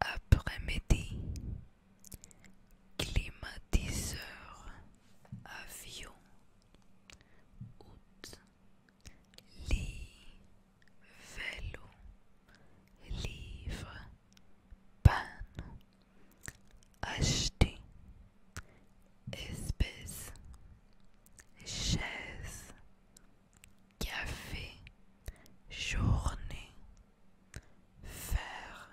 Après-midi, Climatiseur avion août lit vélo livre pain, acheter espèce chaise café journée fer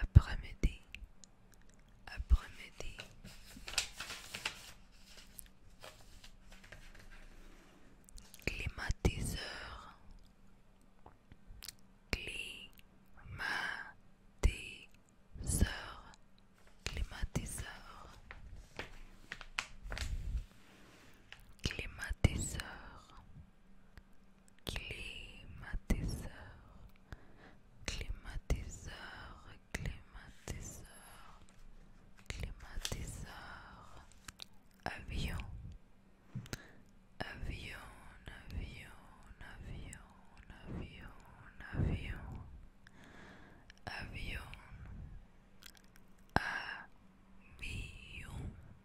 après-midi, après-midi. Climatiseur, climatiseur, climatiseur, climatiseur, climatiseur climatiseur climatiseur climatiseur avion avion avion avion avion avion avion avion avion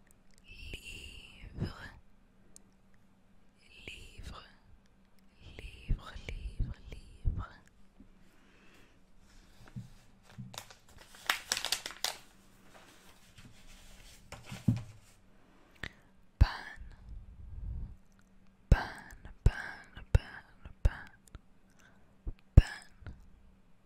livre, livre, livre, livre, livre. pain, pain, pain, pan, pain, pain.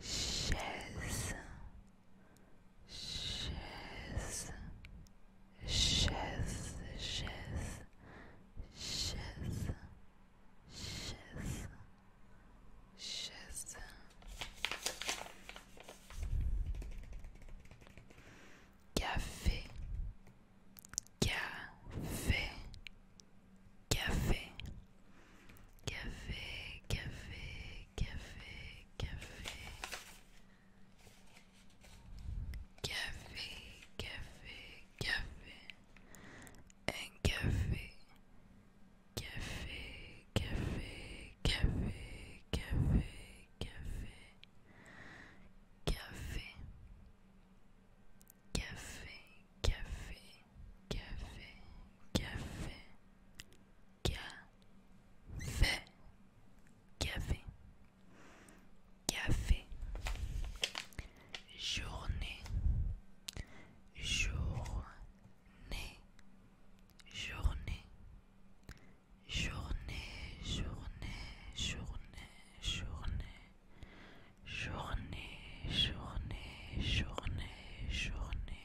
chaise, chaise, chaise, chaise, chaise, chaise, chaise. Café, café, café. Café, café, café, café. Café, café, café. Un café. Café, café, café, café, café. Café. Café, café, café, café, café, café, café, journée, journée, journée, journée, journée, journée, journée. Journée, journée, journée, journée,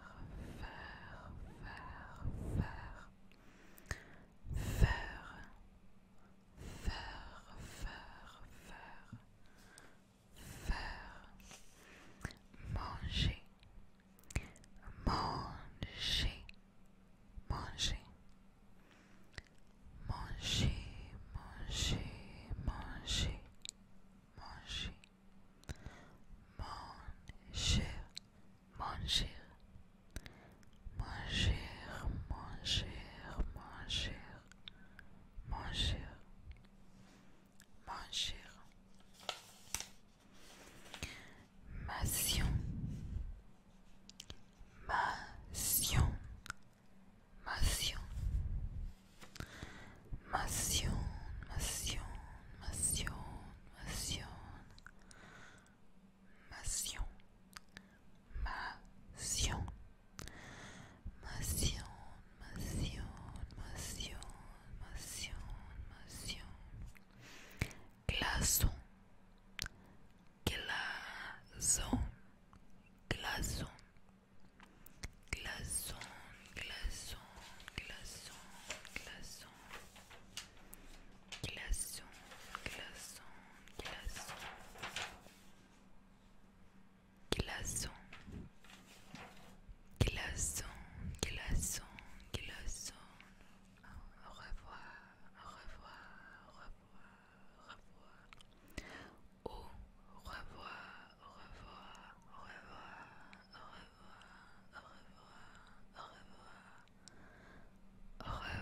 Faire, faire, faire. Faire, faire, faire. Faire. Manger. Manger. Manger. Manger, manger, manger. Manger. Manger, manger, manger, manger, manger, manger, manger. Mation, mation, mation. Mation, mation, mation, mation. Mation, mation. Mation, mation, mation, mation, mation. Glaçon, glaçon, glaçon, Glaçons, glaçons, glaçons, glaçons, glaçons, glaçons, glaçons, glaçons, glaçons, glaçons, Au revoir, au revoir, au revoir, au revoir. Au revoir, au revoir, au revoir, au revoir, au revoir, au revoir, au revoir.